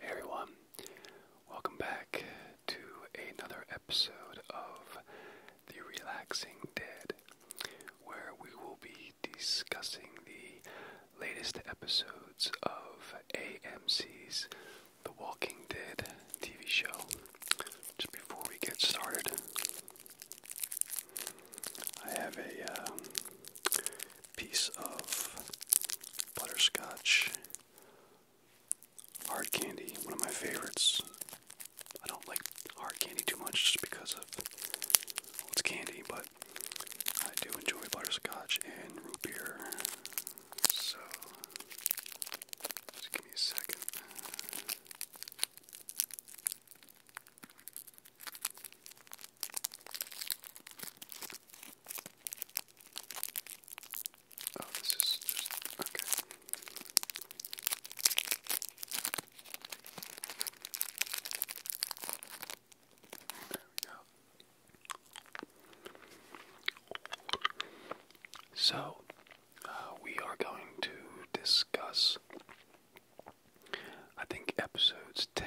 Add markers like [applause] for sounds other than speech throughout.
Hey everyone, welcome back to another episode of The Relaxing Dead, where we will be discussing the latest episodes of AMC's The Walking Dead TV show. Just before we get started, I have a um, piece of butterscotch hard candy, one of my favorites. I don't like hard candy too much just because of it's candy, but I do enjoy butterscotch and root beer. So just give me a second. Oh, so, uh, we are going to discuss, I think, episodes 10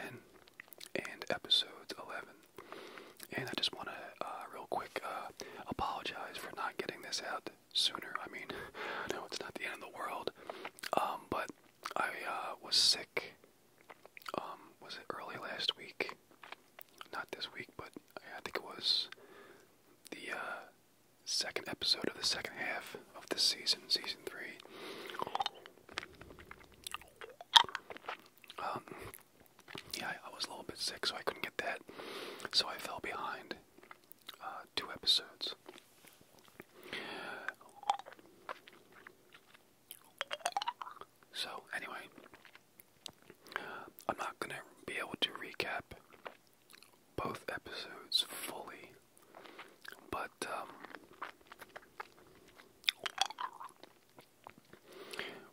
and episodes 11 and I just want to, uh, real quick, uh, apologize for not getting this out sooner. I mean, [laughs] no, it's not the end of the world. Um, but I uh, was sick. Um, was it early last week? Not this week, but I think it was the second episode of the second half of this season, season three. Um, yeah, I was a little bit sick, so I couldn't get that. So I fell behind uh, two episodes. So, anyway, I'm not going to be able to recap both episodes fully, but um,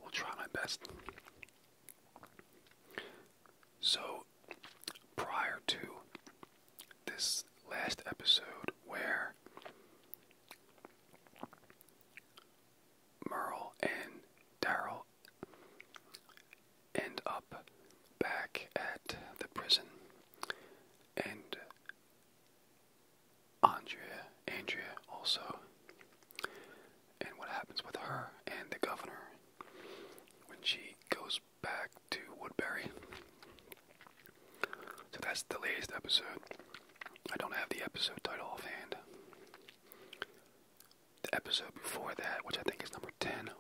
Will try my best. So, prior to this last episode, where Merle and Daryl end up back at the prison, and Andrea, Andrea also, and what happens with her and the governor when she goes back to Woodbury. So that's the latest episode. I don't have the episode title offhand. The episode before that, which I think is number 10,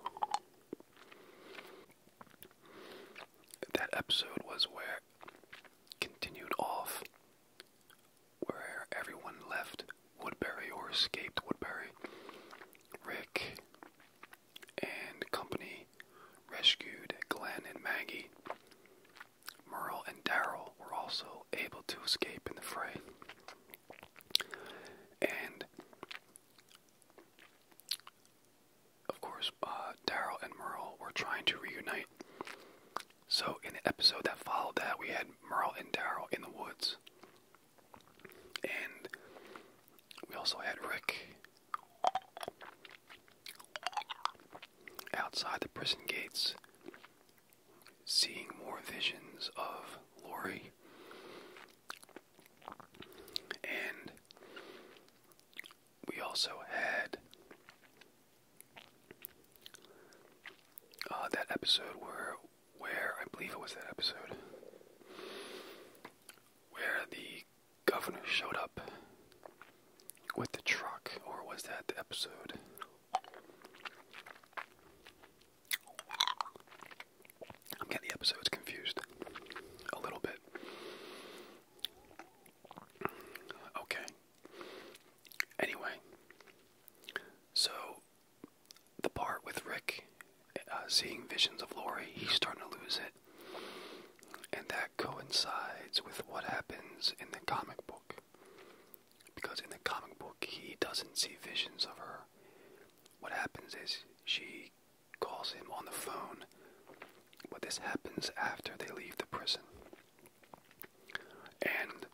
that episode was where continued off where everyone left Woodbury or escaped Woodbury. Rick and company rescued Glenn and Maggie. Merle and Daryl were also able to escape in the fray. And of course, uh, Daryl and Merle were trying to reunite. So, in the episode that followed that, we had Merle and Daryl in the woods. And we also had Rick outside the prison gates, seeing more visions of Lori. And we also had uh, that episode where, where I believe it was that episode, where the governor showed up with the truck, or was that the episode? I'm getting the episodes confused a little bit. Okay, Anyway, so the part with Rick uh, seeing visions of Lori, he's starting to lose it. And that coincides with what happens in the comic book. Because in the comic book, he doesn't see visions of her. What happens is she calls him on the phone, but this happens after they leave the prison. And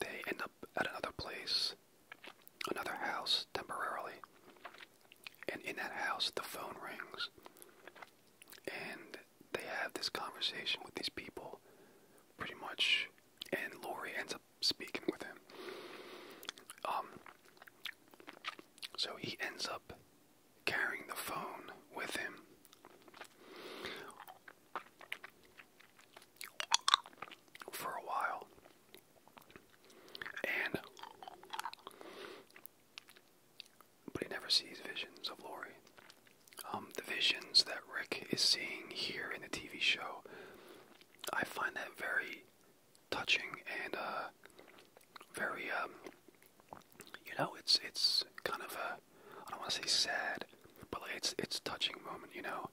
they end up at another place, another house temporarily. And in that house, the phone rings. And they have this conversation with these people, pretty much. And Lori ends up speaking with him. Um, so he ends up carrying the phone with him. For a while, and but he never sees visions of Lori. Um, the visions that Rick is seeing here in the TV show, I find that very touching and uh, very um, you know, it's it's kind of a I don't want to say sad, but like it's it's touching moment, you know.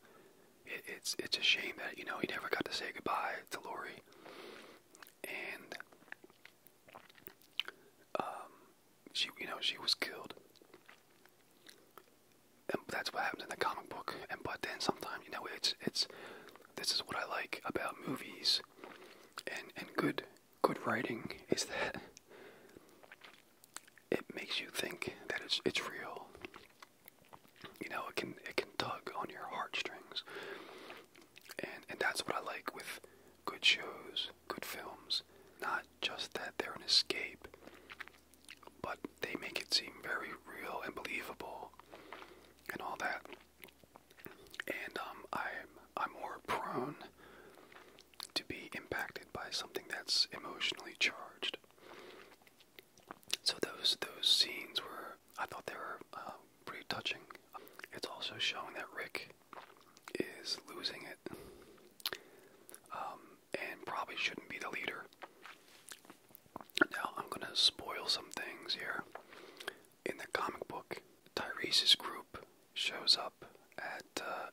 It, it's it's a shame that you know he never got to say goodbye to Lori, and um, she you know she was killed. And that's what happens in the comic book. And but then sometimes you know it's it's this is what I like about movies and and good good writing is that it makes you think that it's it's real. You know, it can it can tug on your heartstrings. And and that's what I like with good shows, good films. Not just that they're an escape, but they make it seem very real and believable and all that and um, I'm I'm more prone to be impacted by something that's emotionally charged. So those those scenes were I thought they were uh, pretty touching. It's also showing that Rick is losing it, um, and probably shouldn't be the leader. Now I'm gonna spoil some things here in the comic book, Tyrese's group shows up at uh,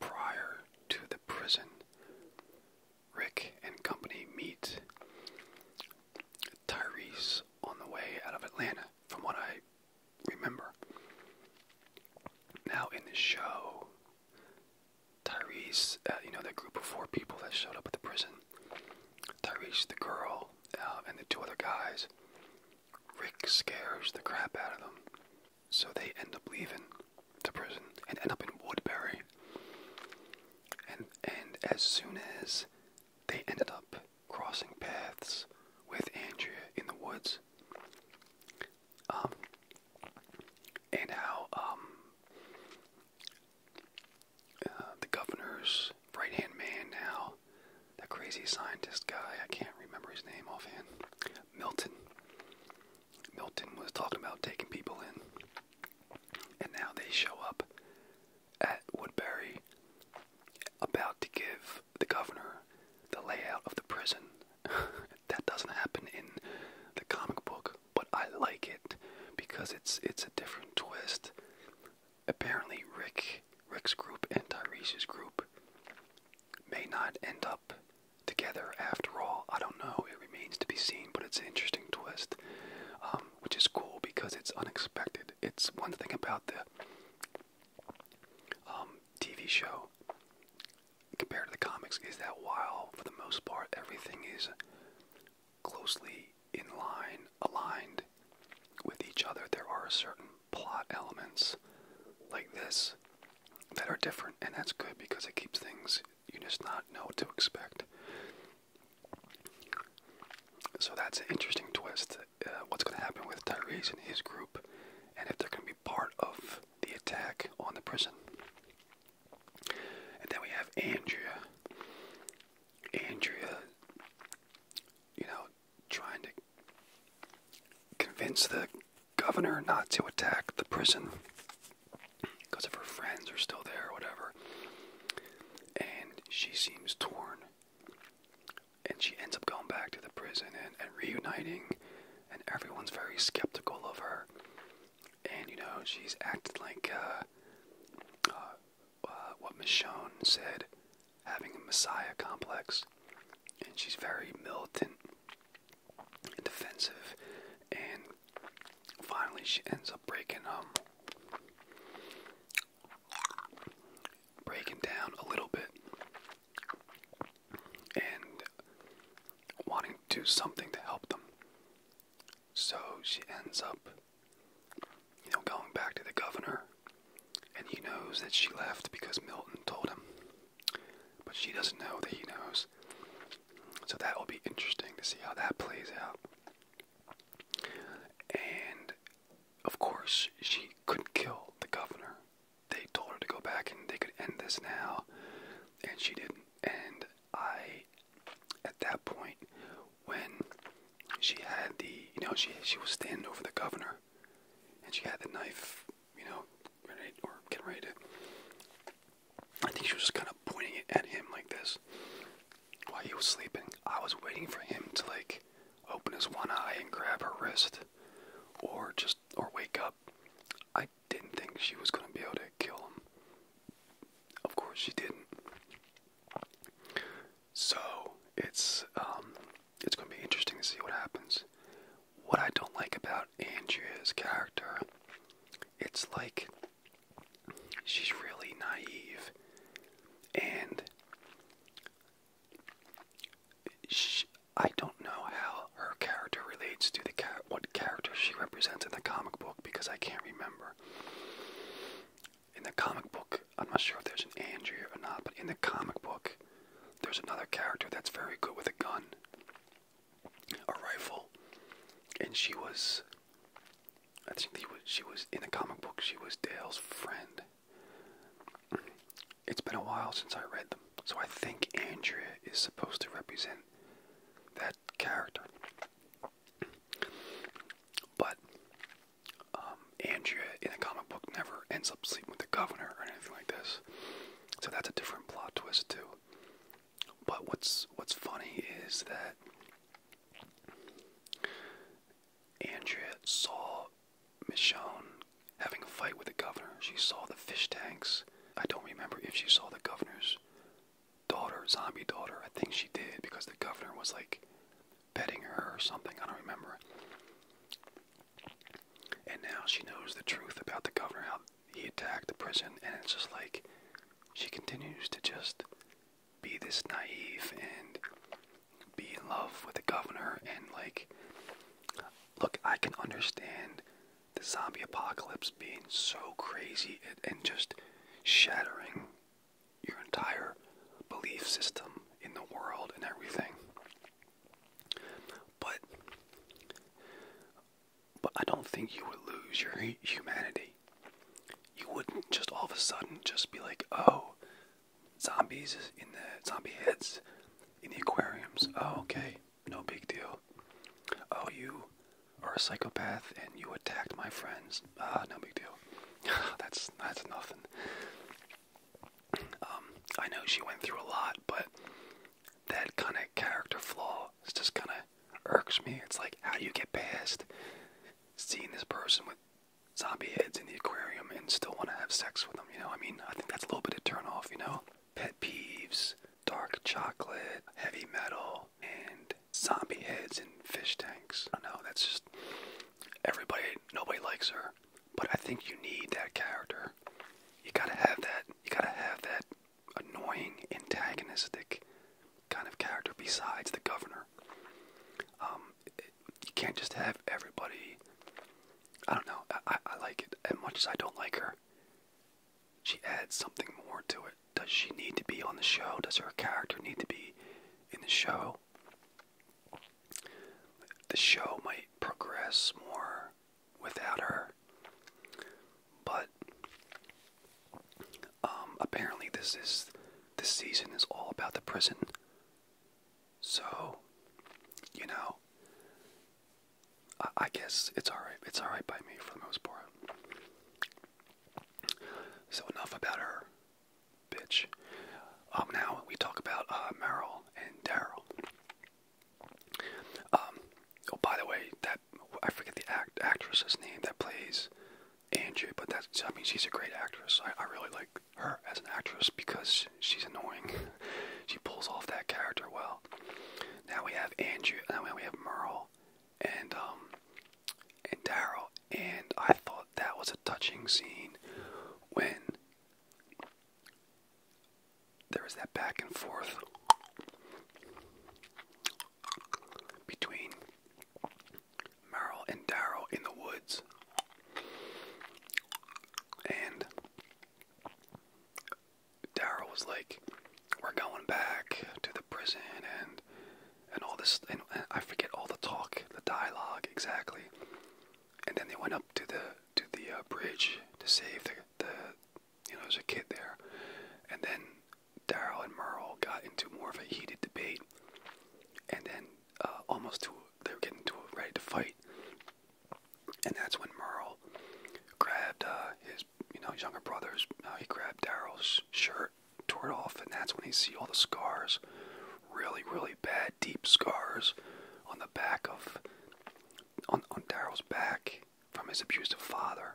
prior to the prison. Rick and company meet Tyrese on the way out of Atlanta, from what I remember. Now, in the show, Tyrese, uh, you know, the group of four people that showed up at the prison Tyrese, the girl, uh, and the two other guys, Rick scares the crap out of them, so they end up leaving the prison and end up in Woodbury. And and as soon as they ended up crossing paths with Andrea in the woods, um, and how um uh, the governor's right hand man now that crazy scientist guy, I can't remember his name offhand. Milton. Milton was talking about taking people in. And now they show up at Woodbury about to give the governor the layout of the prison. [laughs] that doesn't happen in the comic book, but I like it because it's it's a different twist apparently Rick, Rick's group and Tyrese's group may not end up together after all. I don't know. It remains to be seen, but it's an interesting twist, um, which is cool because it's unexpected. It's one thing about the um, TV show compared to the comics is that while for the most part everything is closely in line, aligned with each other, there are certain plot elements like this that are different, and that's good because it keeps things you just not know what to expect. So that's an interesting twist. Uh, what's going to happen with Tyrese and his group, and if they're going to be part of the attack on the prison. And then we have Andrea. Andrea, you know, trying to convince the governor not to attack the prison because if her friends are still there or whatever. And she seems torn. And she ends up going back to the prison and, reuniting, and everyone's very skeptical of her. And you know, she's acting like uh, uh uh, what Michonne said, having a messiah complex, and she's very militant and defensive, and finally she ends up breaking um breaking down a little bit and wanting to do something to help them. So she ends up you know, going back to the governor, and he knows that she left because Milton told him. But she doesn't know that he knows. So that will be interesting to see how that plays out. And of course, she couldn't kill the governor. They told her to go back and they could end this now, and she didn't. And I, at that point, when she had the, you know, she she was standing over the governor, and she had the knife, you know, ready or getting ready to. I think she was just kind of pointing it at him like this while he was sleeping. I was waiting for him to like open his one eye and grab her wrist, or just or wake up. I didn't think she was gonna be able to kill him. Of course she didn't. So it's um, it's going to be interesting to see what happens. What I don't like about Andrea's character, it's like she's really naive, and she, I don't know how her character relates to the cat. what character she represents in the comic book because I can't remember in the comic book, I'm not sure if there's an Andrea or not, but in the comic book, there's another character that's very good with a gun, a rifle, and she was. I think was, she was in the comic book. She was Dale's friend. It's been a while since I read them, so I think Andrea is supposed to represent that character. But um, Andrea in the comic book never ends up sleeping with the governor or anything like this. So that's a different plot twist too. But what's what's funny is that Andrea saw Michonne having a fight with the governor. She saw the fish tanks. I don't remember if she saw the governor's daughter, zombie daughter. I think she did because the governor was like petting her or something. I don't remember. And now she knows the truth about the governor, how he attacked the prison, and it's just like she continues to just be this naive and be in love with the governor. And like, look, I can understand the zombie apocalypse being so crazy and just shattering your entire belief system in the world and everything. But but I don't think you would lose your humanity. You wouldn't just all of a sudden just be like, oh, zombies in the zombie heads in the aquariums. Oh, okay, no big deal. Oh, you are a psychopath and you attacked my friends. Ah, no big deal. [laughs] that's that's nothing. Um, I know she went through a lot, but that kind of character flaw is just kind of irks me. It's like, how do you get past seeing this person with zombie heads in the aquarium and still want to have sex with them? You know, I mean, I think that's a little bit of turn off, you know? Pet peeves, dark chocolate, heavy metal, and zombie heads in fish tanks. I do know, that's just everybody, nobody likes her. But I think you need that character. You gotta have that. You gotta have that annoying, antagonistic kind of character besides the governor. Um, you can't just have everybody. I don't know. I, I like it as much as I don't like her. She adds something more to it. Does she need to be on the show? Does her character need to be in the show? the show might progress more without her. But um, apparently, this is this season is all about the prison. So, you know, I guess it's all right. It's all right by me for the most part. So enough about her bitch. Um, now we talk about uh, Merrill and Daryl. Um, oh, by the way, that I forget the actress's name that plays Andrew, but that's I mean she's a great actress. I, really like her as an actress because she's annoying. [laughs] she pulls off that character well. Now we have Andrew. Now we have Merle, and um, and Daryl. And I thought that was a touching scene when there was that back and forth between Merrill and Daryl in the woods. And Darrow was like, We're going back to the prison and and all this, and I forget all the talk, the dialogue exactly. And then they went up to the to the uh, bridge to save the, you know there's a kid there, and then Daryl and Merle got into more of a heated debate, and then uh, almost to they were getting to ready to fight, and that's when Merle grabbed uh, his you know younger brother's uh, he grabbed Daryl's shirt tore it off, and that's when you see all the scars, really, really bad, deep scars on the back of on, on Daryl's back from his abusive father.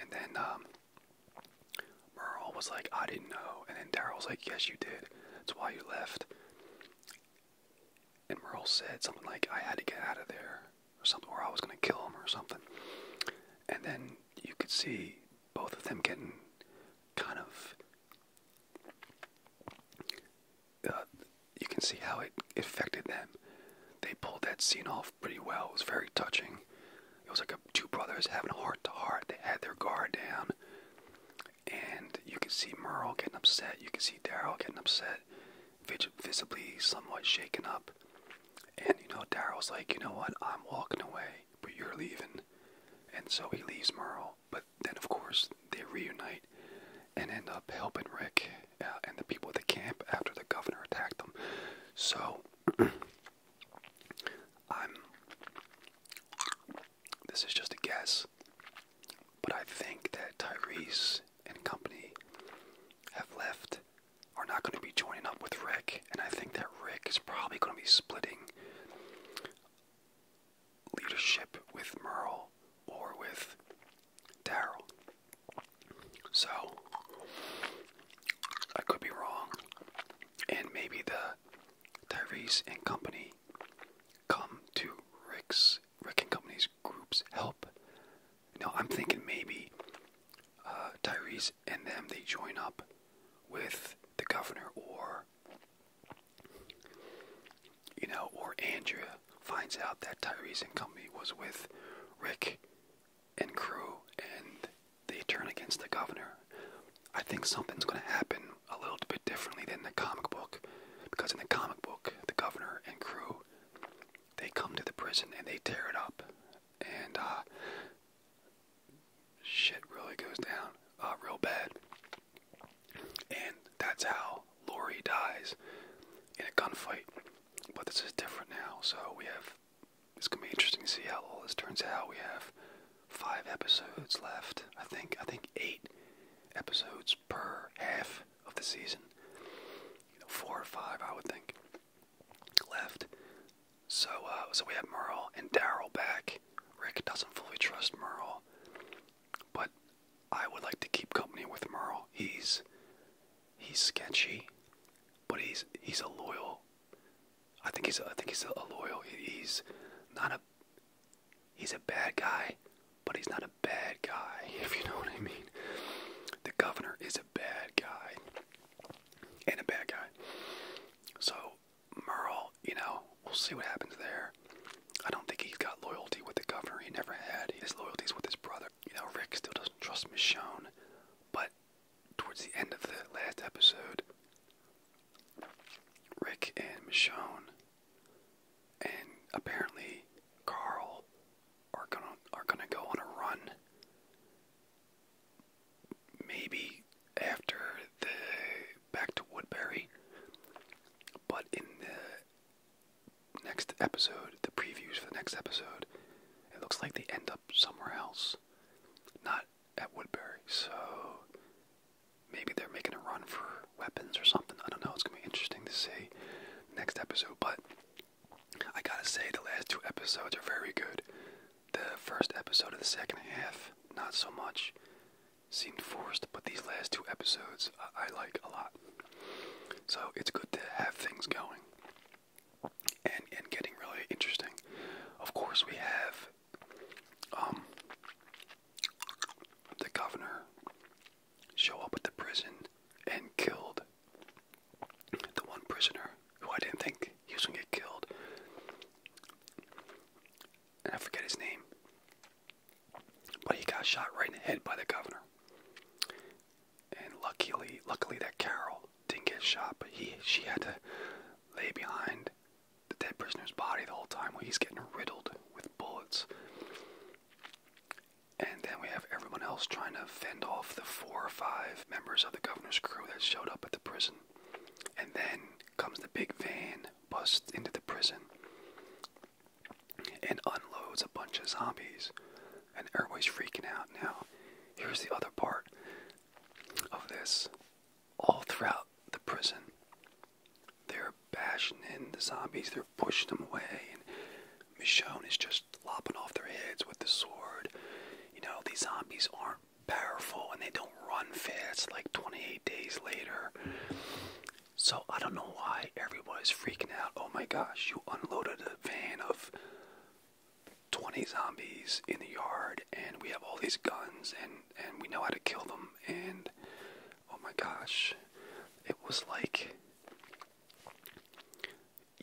And then um, Merle was like, "I didn't know," and then Daryl was like, "Yes, you did. That's why you left." And Merle said something like, "I had to get out of there," or something, or I was gonna kill him, or something. And then you could see both of them getting kind of uh, you can see how it affected them. They pulled that scene off pretty well. It was very touching. It was like two brothers having a heart to heart. They had their guard down. And you could see Merle getting upset. You could see Daryl getting upset, visibly somewhat shaken up. And you know, Daryl's like, you know what? I'm walking away but you're leaving. And so he leaves Merle, but then of course they reunite and end up helping Rick uh, and the people at the camp after the governor attacked them. So [clears throat] I'm. This is just a guess, but I think that Tyrese and company have left, are not going to be joining up with Rick, and I think that Rick is probably going to be splitting leadership with Merle or with Daryl. So, I could be wrong. And maybe the Tyrese and company come to Rick's, Rick and company's group's help. No, I'm thinking maybe uh, and them, they join up with the governor or, you know, or Andrea finds out that Tyrese and company was with Rick and crew and they turn against the governor. I think something's going to happen a little bit differently than the comic book because in the comic book, the governor and crew, they come to the prison and they tear it up. And uh, shit really goes down uh, real bad. And that's how Lori dies in a gunfight. But this is different now, so we have. It's gonna be interesting to see how all this turns out. We have five episodes left. I think. I think eight episodes per half of the season. four or five, I would think, left. So, uh, so we have Merle and Daryl back. Rick doesn't fully trust Merle, but I would like to keep company with Merle. He's he's sketchy, but he's he's a loyal. I think he's I think he's a loyal. He's not a he's a bad guy, but he's not a bad guy. [laughs] If you know what I mean. The governor is a bad guy and a bad guy. So Merle, you know, we'll see what happens there. I don't think he's got loyalty with the governor. He never had. His loyalties with his brother. You know, Rick still doesn't trust Michonne. But towards the end of the last episode, Rick and Michonne and apparently Carl are gonna are gonna go on a run maybe after the back to Woodbury, but in the next episode, the previews for the next episode, it looks like they end up somewhere else, not at Woodbury. So maybe they're making a run for weapons or something. I don't know. It's gonna be interesting to see next episode, but I gotta say the last two episodes are very good. The first episode of the second half, not so much, seemed forced, but these last two episodes I, like a lot. So it's good to have things going and and getting really interesting. Of course, we have um the governor show up at the prison and killed the one prisoner who I didn't think he was gonna get killed. And I forget his name. But he got shot right in the head by the governor. And luckily luckily that Carol didn't get shot, but he she had to lay behind the dead prisoner's body the whole time while he's getting riddled with bullets. And then we have everyone else trying to fend off the four or five members of the governor's crew that showed up at the prison and then comes the big van, busts into the prison, and unloads a bunch of zombies. And everybody's freaking out now. Here's the other part of this. All throughout the prison, they're bashing in the zombies, they're pushing them away, and Michonne is just lopping off their heads with the sword. You know, these zombies aren't powerful and they don't run fast like 28 days later. So I don't know why everybody's freaking out. Oh my gosh, you unloaded a van of 20 zombies in the yard and we have all these guns and and we know how to kill them and oh my gosh. It was like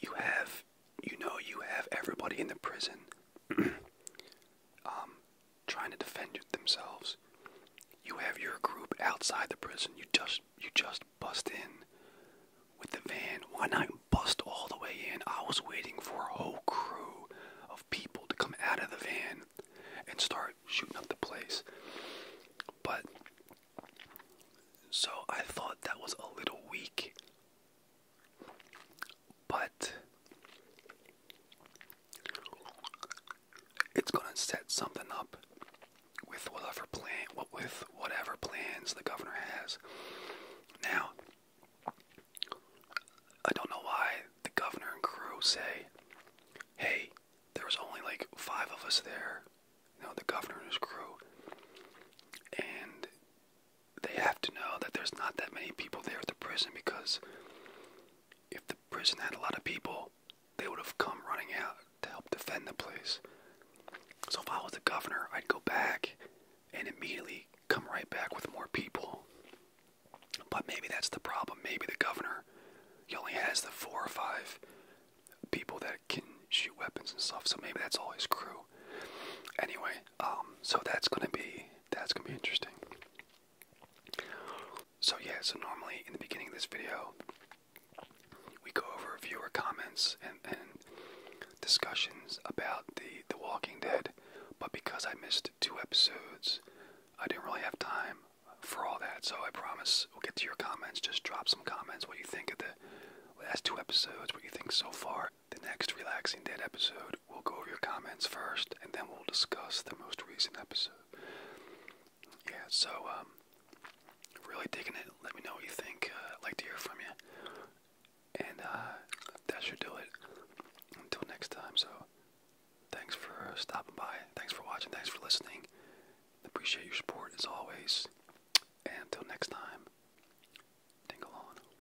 you have you know you have everybody in the prison [clears throat] um, trying to defend themselves. You have your group outside the prison. You just you just bust in with the van. Why not bust all the way in? I was waiting for a whole crew of people to come out of the van and start shooting up the place. But so I thought that was a little weak but it's gonna set something up with whatever plan, with whatever plans the governor has. Now, I don't know why the governor and crew say, "Hey, there was only like five of us there." You the governor and his crew, and they have to know that there's not that many people there at the prison because if the prison had a lot of people, they would have come running out to help defend the place. So if I was the governor, I'd go back and immediately come right back with more people. But maybe that's the problem. Maybe the governor he only has the four or five people that can shoot weapons and stuff. So maybe that's all his crew. Anyway, um, so that's gonna be that's gonna be interesting. So yeah, so normally in the beginning of this video, we go over viewer comments and, and discussions about the The Walking Dead, but because I missed two episodes, I didn't really have time for all that. So I promise we'll get to your comments. Just drop some comments. What you think of the last two episodes? What you think so far? The next Relaxing Dead episode, we'll go over your comments first, and then we'll discuss the most recent episode. Yeah, so, um, really digging it. Let me know what you think. I'd uh, like to hear from you. And, uh, that should do it. Until next time, so thanks for stopping by. Thanks for watching. Thanks for listening. Appreciate your support as always. And until next time, tingle on.